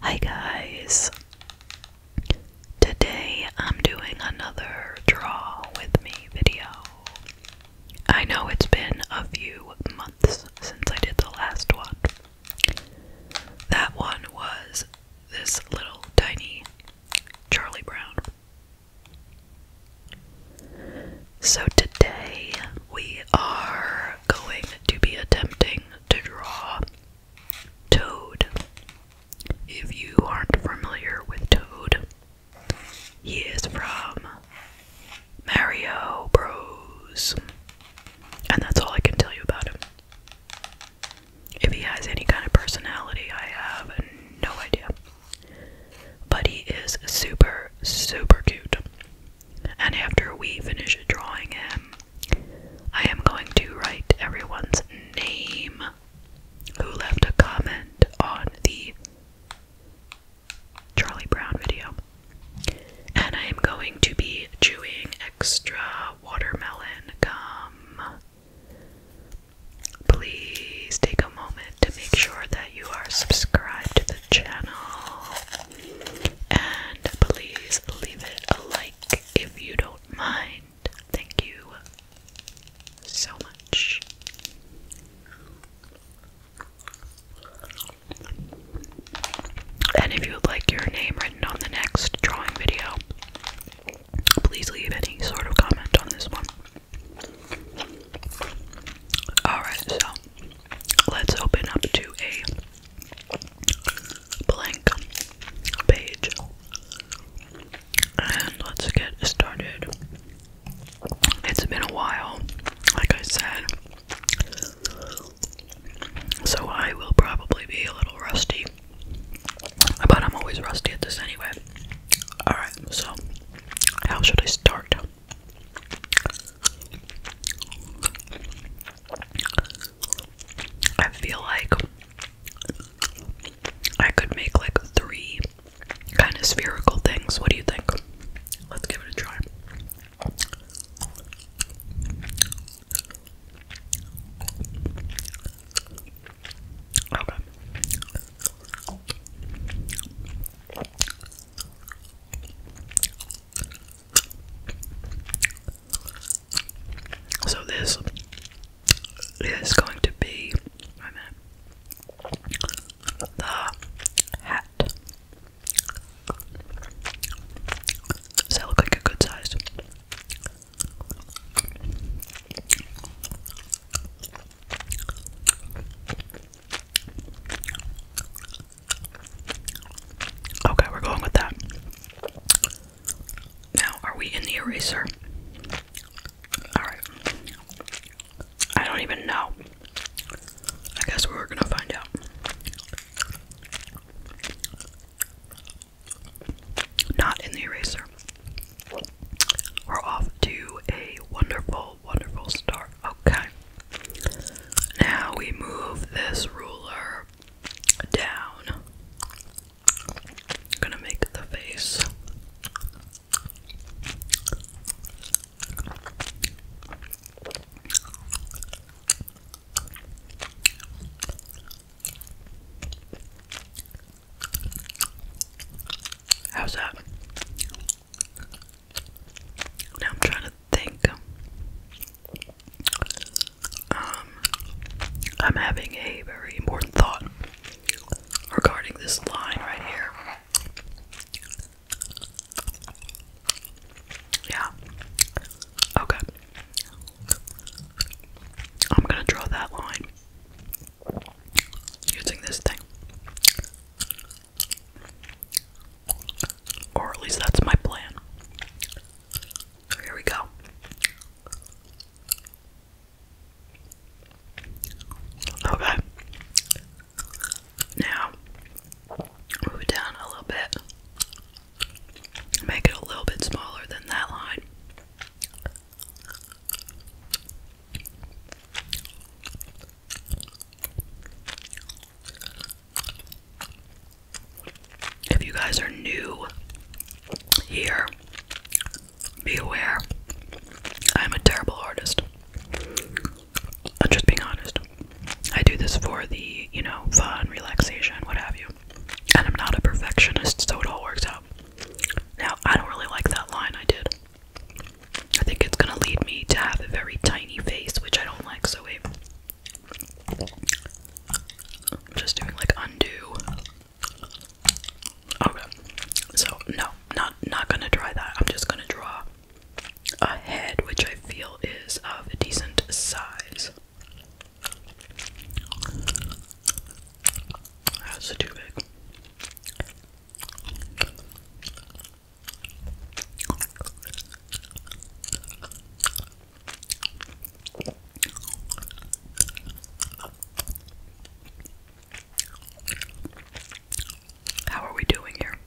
Hi guys! Today I'm doing another draw with me video. I know it's been a few months since I did the last one. That one was this little tiny Charlie Brown. So today we are going to be attempting to draw Toad. If you aren't familiar with Toad, he is from Mario Bros. And that's all I can tell you about him. If he has any kind of personality, I have no idea. But he is super, super cute and after we finish drawing him, I am going to write everyone's name who left a comment on the Charlie Brown video. And I am going to be chewing extra watermelon gum. Please take a moment to make sure that you are subscribed to the channel. And please leave it a like if you don't mind. Thank you so much. And if you would like your name written on the next drawing video, please leave any sort of comment on this one. Alright, so let's open up to a blank page. And let's get started. It's been a while, like I said, so I will probably be a little rusty. But I'm always rusty at this anyway. Alright, so how should I start? I feel like I could make like three kind of spherical things. What do you think? Let's give it a try. So this is going to be the hat. Does that look like a good size? Okay, we're going with that. Now, are we in the eraser? Alright. I don't even know. I guess we're gonna find out. Not in the eraser. We're off to a wonderful, wonderful start. Okay. Now we move this ruler down. Gonna make the face. How's that? Now I'm trying to think. Um, I'm having a very important thought regarding this line right here. Yeah. Okay. I'm gonna draw that line using this thing. Or at least that's my plan. Here we go. Okay. Now, move it down a little bit. Make it a little bit smaller than that line. If you guys are new here, be aware I'm a terrible artist. I'm just being honest. I do this for the, you know, fun, relaxation, what have you. And I'm not a perfectionist, so it all works out. Now, I don't really like that line I did. I think it's gonna lead me to have a very tiny face, which I don't like, so it. I'm Just doing like undo. Okay. So no, not not gonna try that. I'm just gonna draw a head which I feel is of a decent size. That's too big. How are we doing here?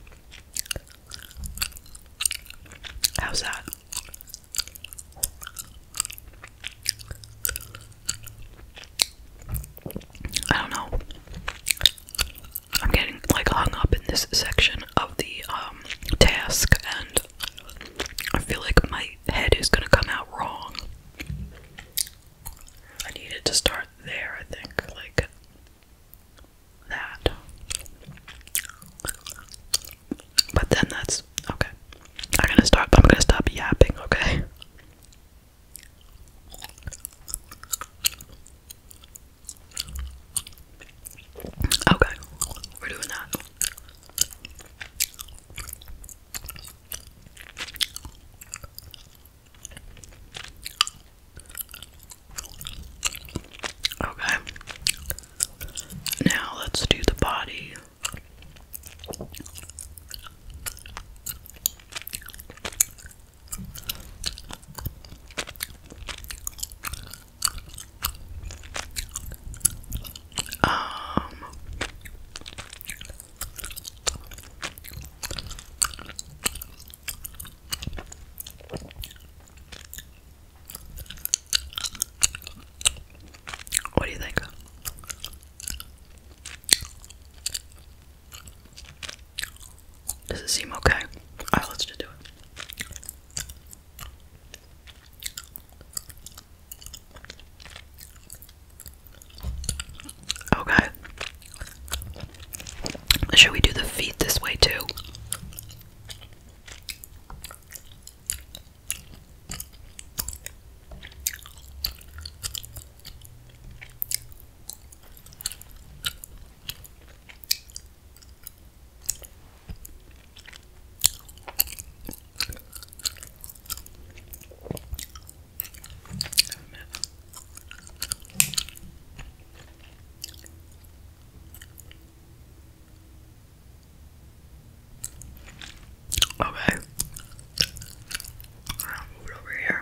How's that? I don't know. I'm getting like hung up in this section of the um, task and I feel like my head is gonna come out wrong. I needed to start there, I think, like that. But then that's okay. I'm gonna start, I'm gonna stop yapping, okay? Okay, we're doing that. Okay. Now let's do the body. Um What do you think? Does it seem okay? Alright, let's just do it. Okay. Should we do the feet this way too? Okay. i move over here.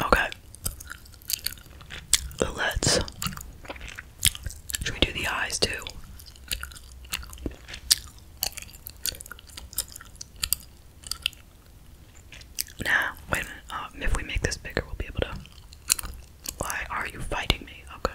Okay. Let's. Should we do the eyes too? Nah, wait a minute. Um, if we make this bigger, we'll be able to. Why are you fighting me? Okay.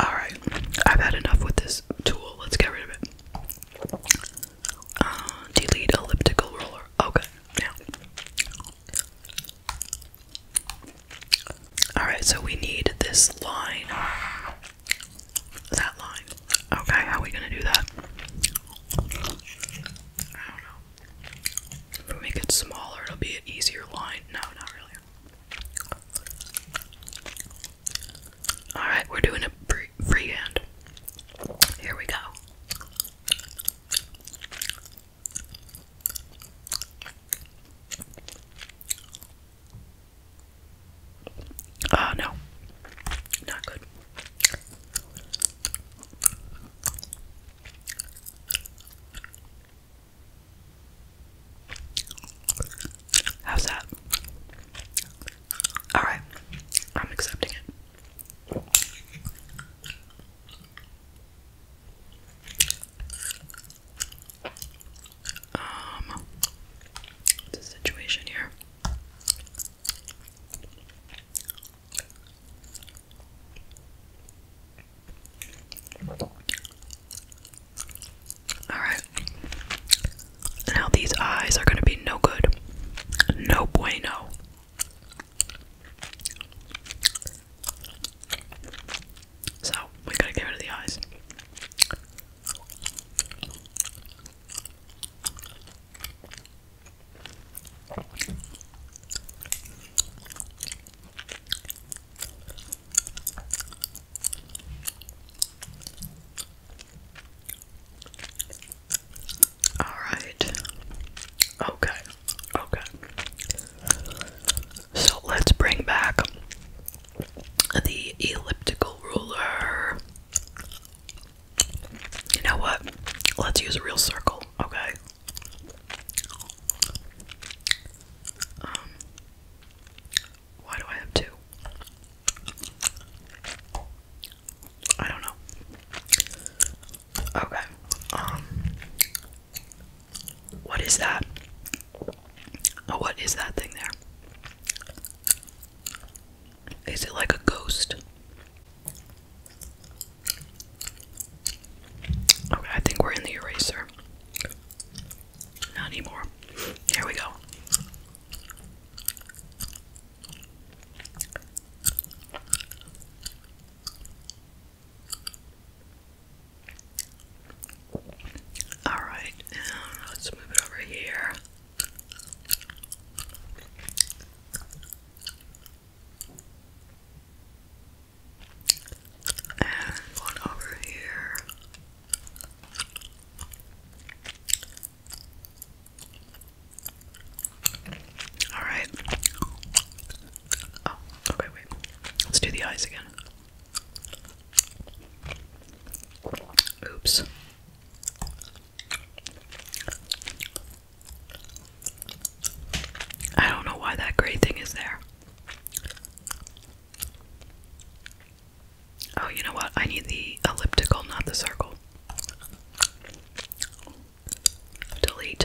Alright, I've had enough with this tool. Let's get rid of it. Uh, delete elliptical roller. Okay, now. Alright, so we need this line that line. Okay, how are we gonna do that? I don't know. If we make it smaller, it'll be an easier line. No, not really. Alright, we're doing a freehand. Here we go. Uh, no. Not good. How's that? Alright, I'm accepting it. Um, the situation here. Alright. Now these eyes are going to be no good. No bueno. So, we gotta get rid of the eyes. All right. Okay. Okay. So let's bring back the elliptical ruler. You know what? Let's use a real circle, okay? Um, why do I have two? I don't know. Okay. Um, what is that? Oh, what is that thing there? Is it like a ghost? I think we're in the eraser. Not anymore. Here we go. All right, let's move it over here. And one over here. All right. Oh, okay, wait. Let's do the eyes again. Oops. I don't know why that gray thing is there. Oh, you know what? I need the elliptical, not the circle. Delete.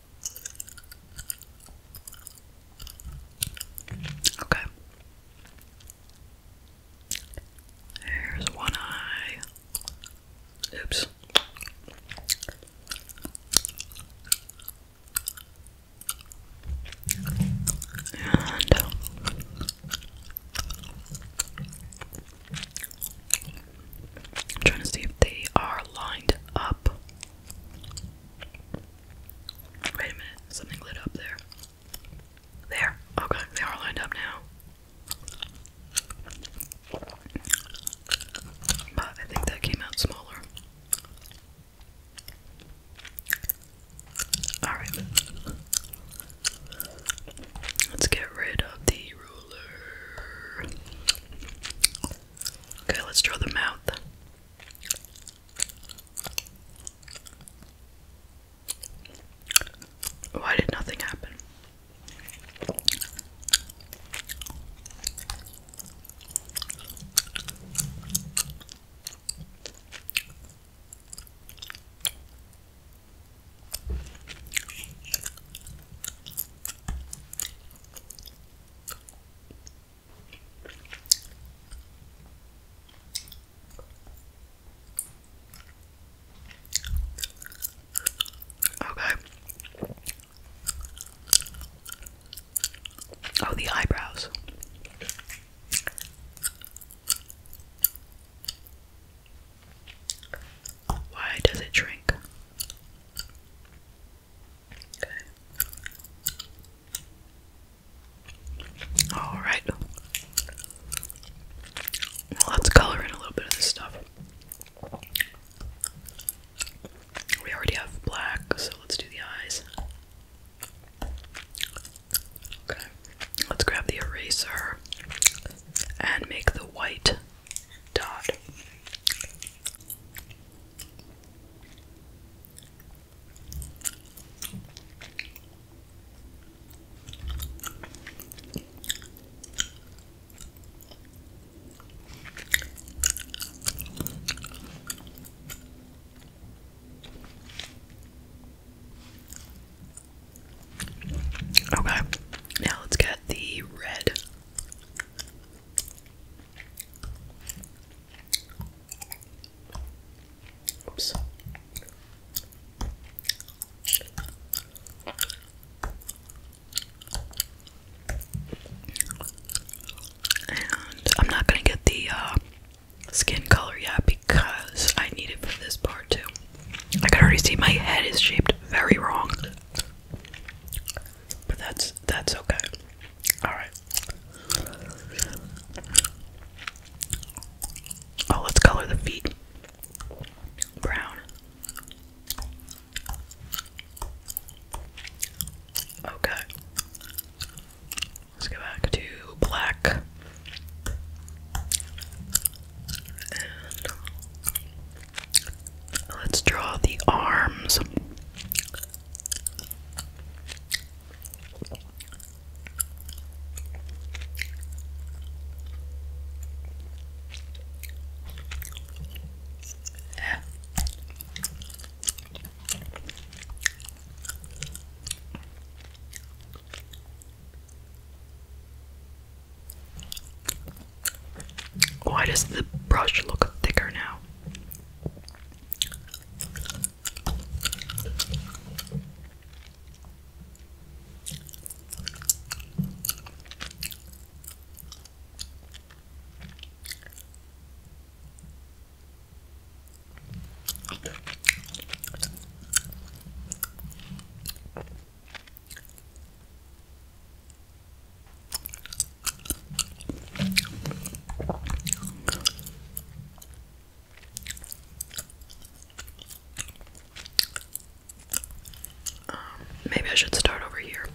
Okay. Here's one eye. Oops. And I'm trying to see if they are lined up. Wait a minute, something lit up there. There, okay, they are lined up now. But I think that came out smaller. Alright. Let's get rid of the ruler. Okay, let's draw the mouth. Why did nothing happen? Okay. Oh, the eyebrows. Why does it shrink? Okay. Alright. Let's color in a little bit of this stuff. We already have black, so let's do the eyes. Okay. Let's grab the eraser and make the white dot. Okay, now let's get the red. Oops. And I'm not gonna get the uh, skin color yet because I need it for this part too. I can already see my head is shaped very wrong. But that's that's okay. Alright. Oh, let's color the feet brown. Okay. Let's go back to black. Let's draw the arms. Why does the brush look thicker now? Um, maybe I should start over here.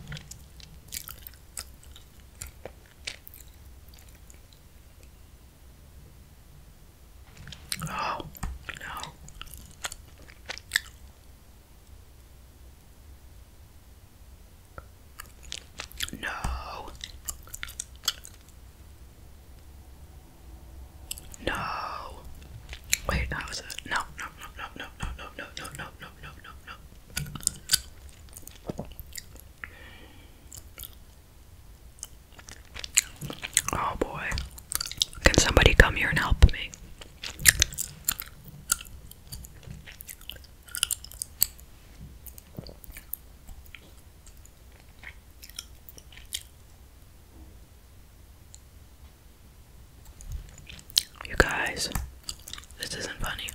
Oh, no. No. No. Wait, that was it. no, no, no, no, no, no, no, no, no, no, no, no. Oh boy. Can somebody come here and help me? You guys, this isn't funny.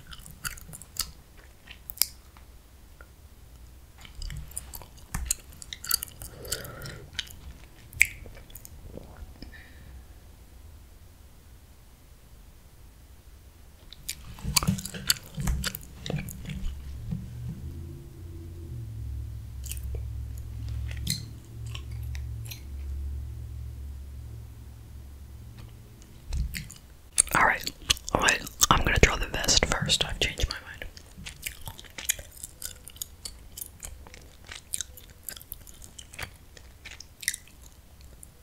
All right, all right. I'm gonna draw the vest first. I've changed my mind.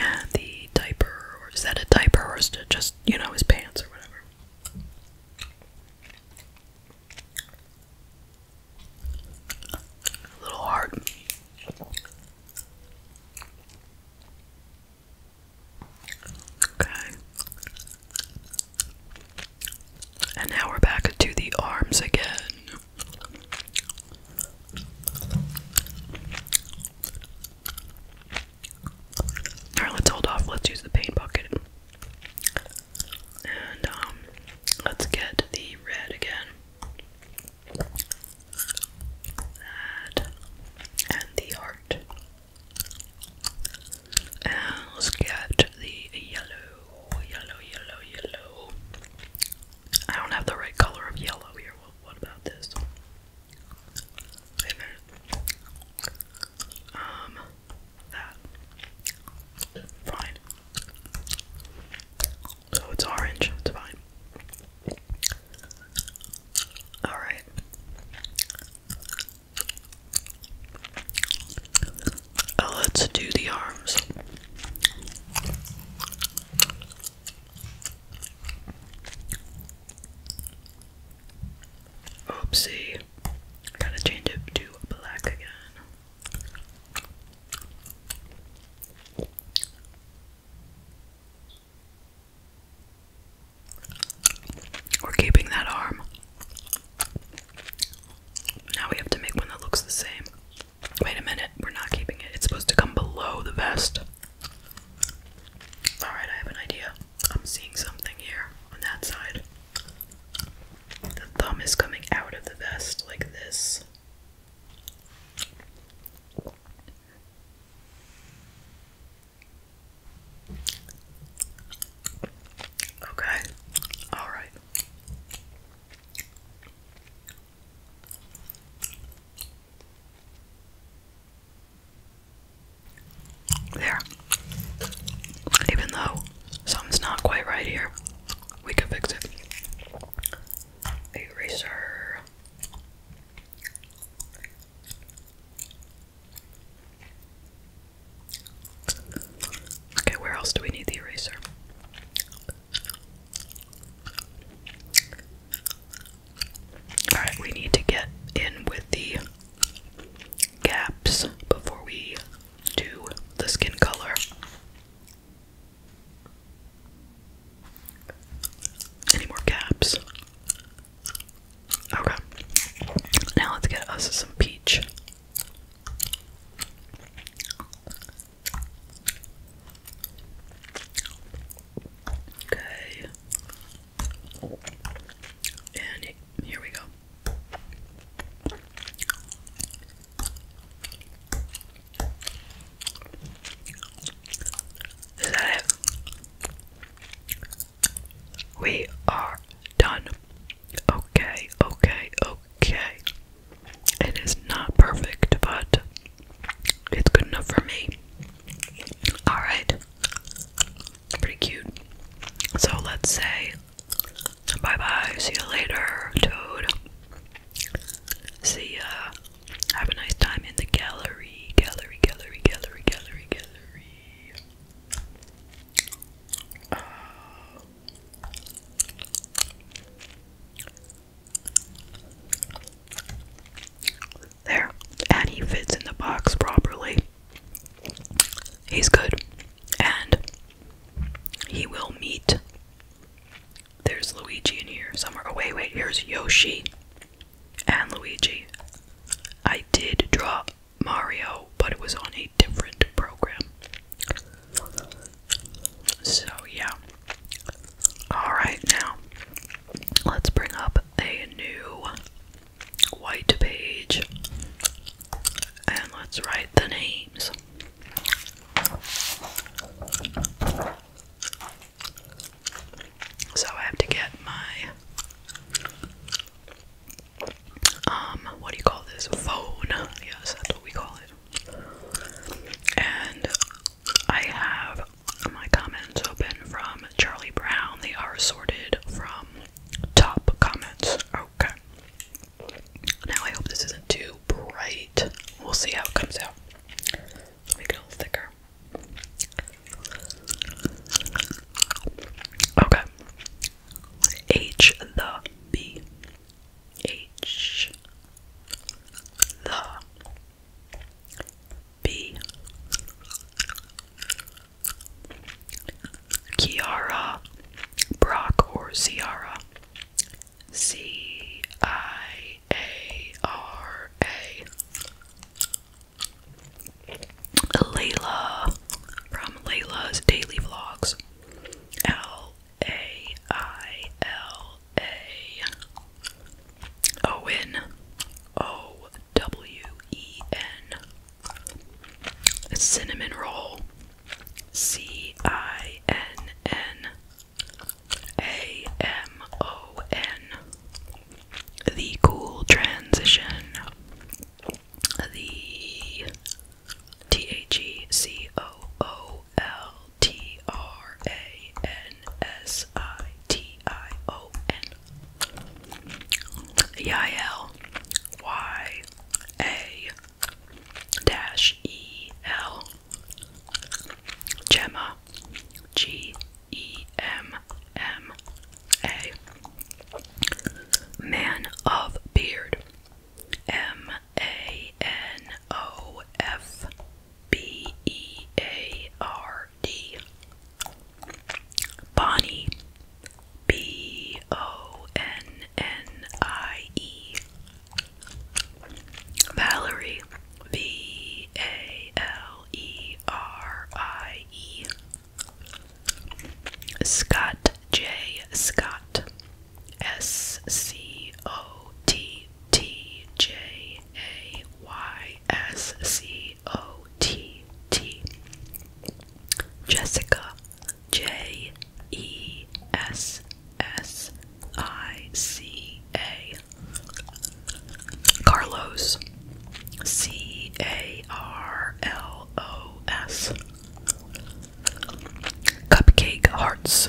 And the diaper, or is that a diaper, or is it just, you know, his pants or whatever? A little hard. Okay. And now we're back to the arms again. Alright, let's hold off. Let's use the paint bucket. And, um, let's get the red again. That. And the heart. And let's get the yellow, yellow, yellow, yellow. I don't have the right color of yellow here. what about this? Um, that. Fine. So oh, it's orange. It's fine. Alright. Oh, let's do the arms. Oopsie. Gotta change it to black again. We're keeping that arm. Now we have to make one that looks the same. Wait a minute, we're not keeping it. It's supposed to come below the vest. Alright, I have an idea. I'm seeing something here on that side. The thumb is coming out of the vest like this. Okay, all right. There. Even though something's not quite right here, we can fix it. Eraser. Okay, where else do we need the eraser? Alright, we need to get in with the gaps before we do the skin color. Any more gaps? Okay. Now let's get us some peach. Okay. And here we go. We are done. Okay, okay, okay okay. It is not perfect, but it's good enough for me. Alright. Pretty cute. So let's say bye bye, see you later, Toad. See ya. Have a nice time in the gallery. Gallery, gallery, gallery, gallery, gallery. Uh, there, and he fits in the box properly. He's good, and he will meet. There's Luigi in here somewhere. Oh, wait, wait, here's Yoshi and Luigi. I did draw Mario, but it was on a different program. So, yeah. Alright, now let's bring up a new white page and let's write the names. So, I have to get my um, what do you call this? Phone. Yes, that's what we call it. And I have my comments open from Charlie Brown. They are sorted from top comments. Okay. Now I hope this isn't too bright. We'll see how it comes out. Make it a little thicker. Okay. H the B. H the B Kiara Brock or Ciara C I A R A Layla from Layla's Daily Vlogs L a I L A O N O W E N Cinnamon Roll C I N N A M O N The Cool Transition the T H E C O O L T R A N S I T I O N E I L Y A Gemma G E M M A Man of Beard M a N O F B E A R D. Bonnie. B O N N I E. Valerie. V A L E R I E. Scott. J. Scott, S C O T T J A Y S C O T T, Jessica, J E S S I C A, Carlos, C A R L O S. Cupcake Hearts.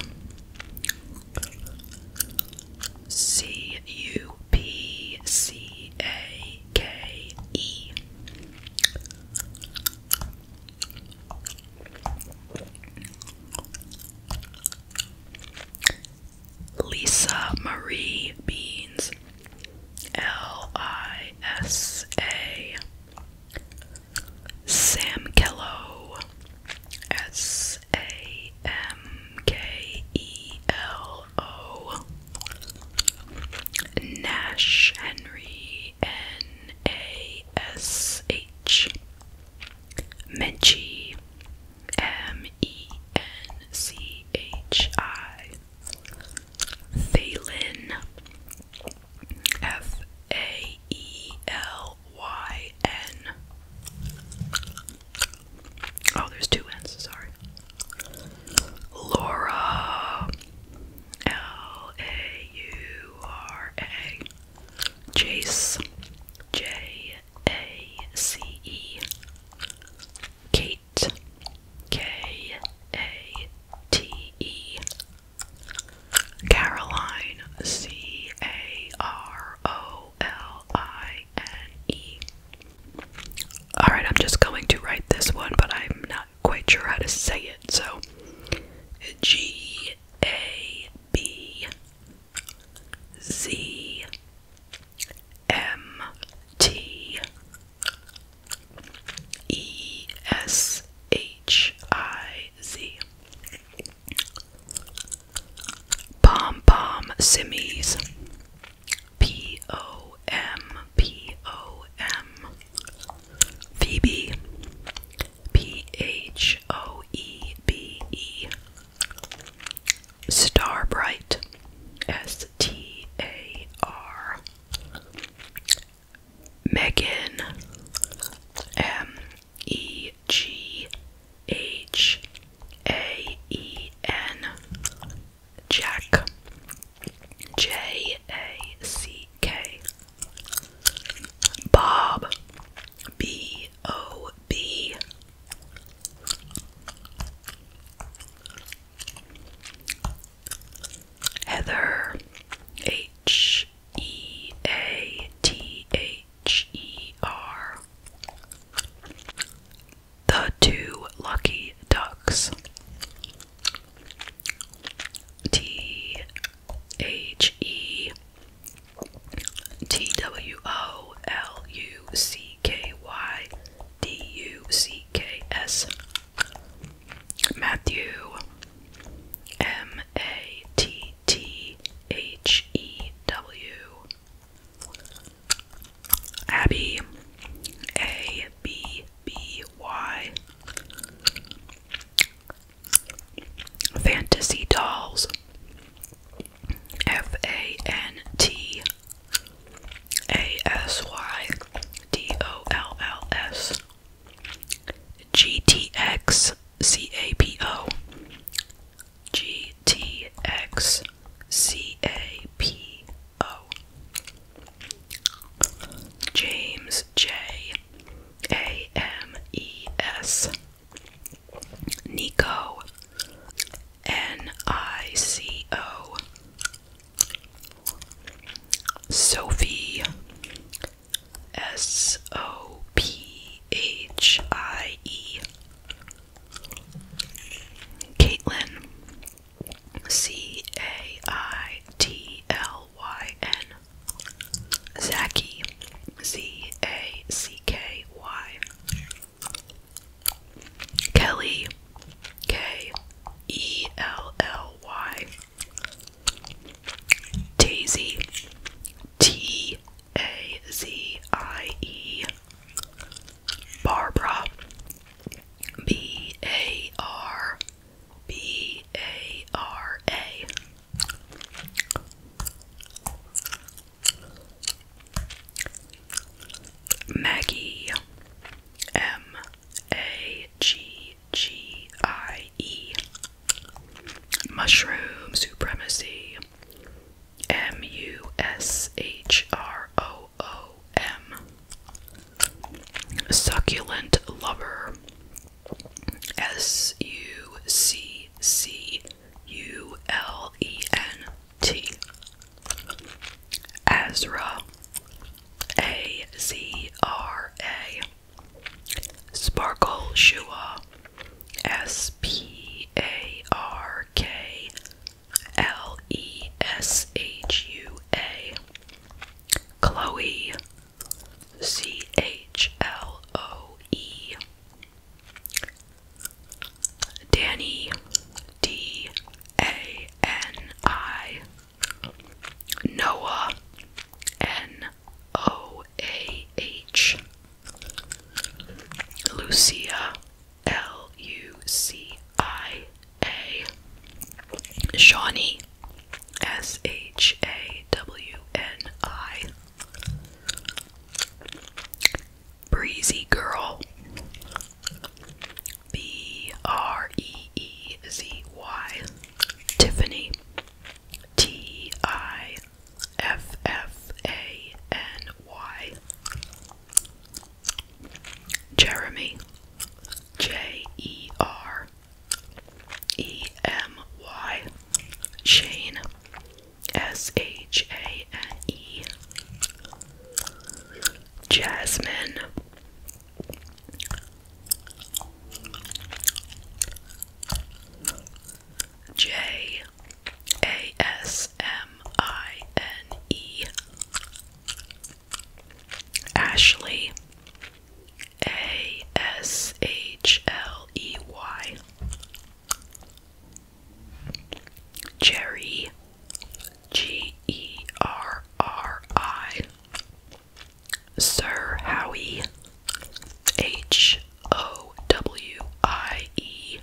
C U P C A K E. Lisa Marie Beans L I S A Sam Kello S A M K E L O Nash Henry N A S H Menchie M E N C H I Phelan F A E L Y N. Oh, there's two N's, sorry. Laura L A U R A Jace J A C E Kate K A T E Caroline, C A R O L I N E. Alright, I'm just going to write this one, but I'm not quite sure how to say it, so G A B Z M T E S H I Z. Pom Pom Simmies. P O M P O M. Phoebe. P H O E B E. Starbright. S T A R. Megan M E G H A E N Jack J A C K Bob B O B Heather H E A T H E R. The Two Lucky Ducks. T H E T W O L U C K Y D U C K S. Matthew M A T T H E W Abby A B B Y Fantasy Dolls F A N T A S Y D O L L S G T X C A P O. G T X C A P O. James J A M E S Nico N I C O Sophie S O P H I E. Caitlin. C A I T L Y N. Zacky. Z A C K Y. Kelly. K E L L Y. Tazie, T A Z I E Barbara B A R B A R A Maggie M A G G I E. Mushroom Supremacy. M U S H R O O M. Succulent Lover. S U C C U L E N T. Azra. A Z R A. Sparkle Shua S P A R K L E S H U A Chloe C H L O E Danny D A N I Noah N O A H Lucia L U C I A Shawnee S H A W N I Breezy Girl B R E E Z Y Tiffany T I F F A N Y. Jeremy. J E R E M Y. Shane. S H A N E. Jasmine. J A S M I N E Ashley A S H L E Y Jerry G E R R I Sir Howie H O W I E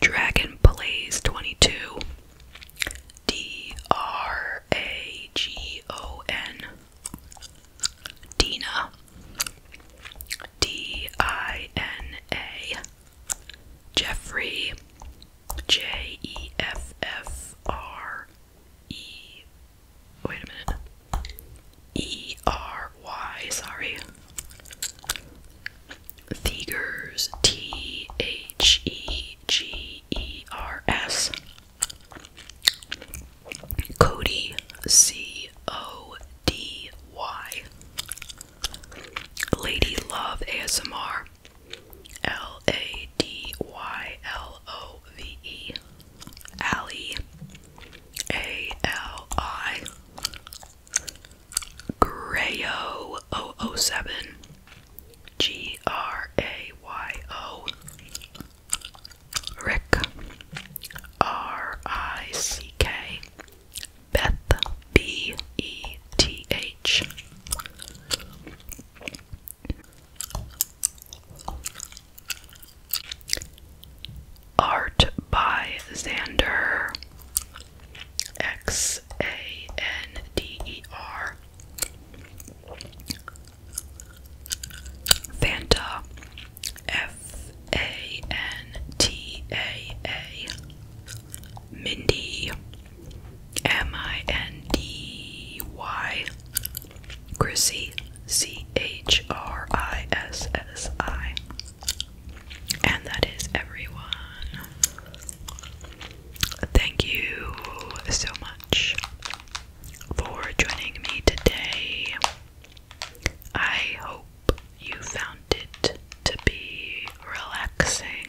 Dragon Blaze 22 D R A G O N Dina D I N A Jeffrey J E F F R E. Wait a minute. E R Y, sorry. Thegers, T H E G E R S. Cody, C O D Y. Lady Love ASMR, L A D Y L O V E. Allie, A L I, Grayo 007, G R A Y O, Rick, R I C K, Beth, B E T H. Art by Xander X A N D E R Fanta F A N T A A Mindy M I N D Y Chrissy, C H R I S S I. And that is everyone. Thank you so much for joining me today. I hope you found it to be relaxing.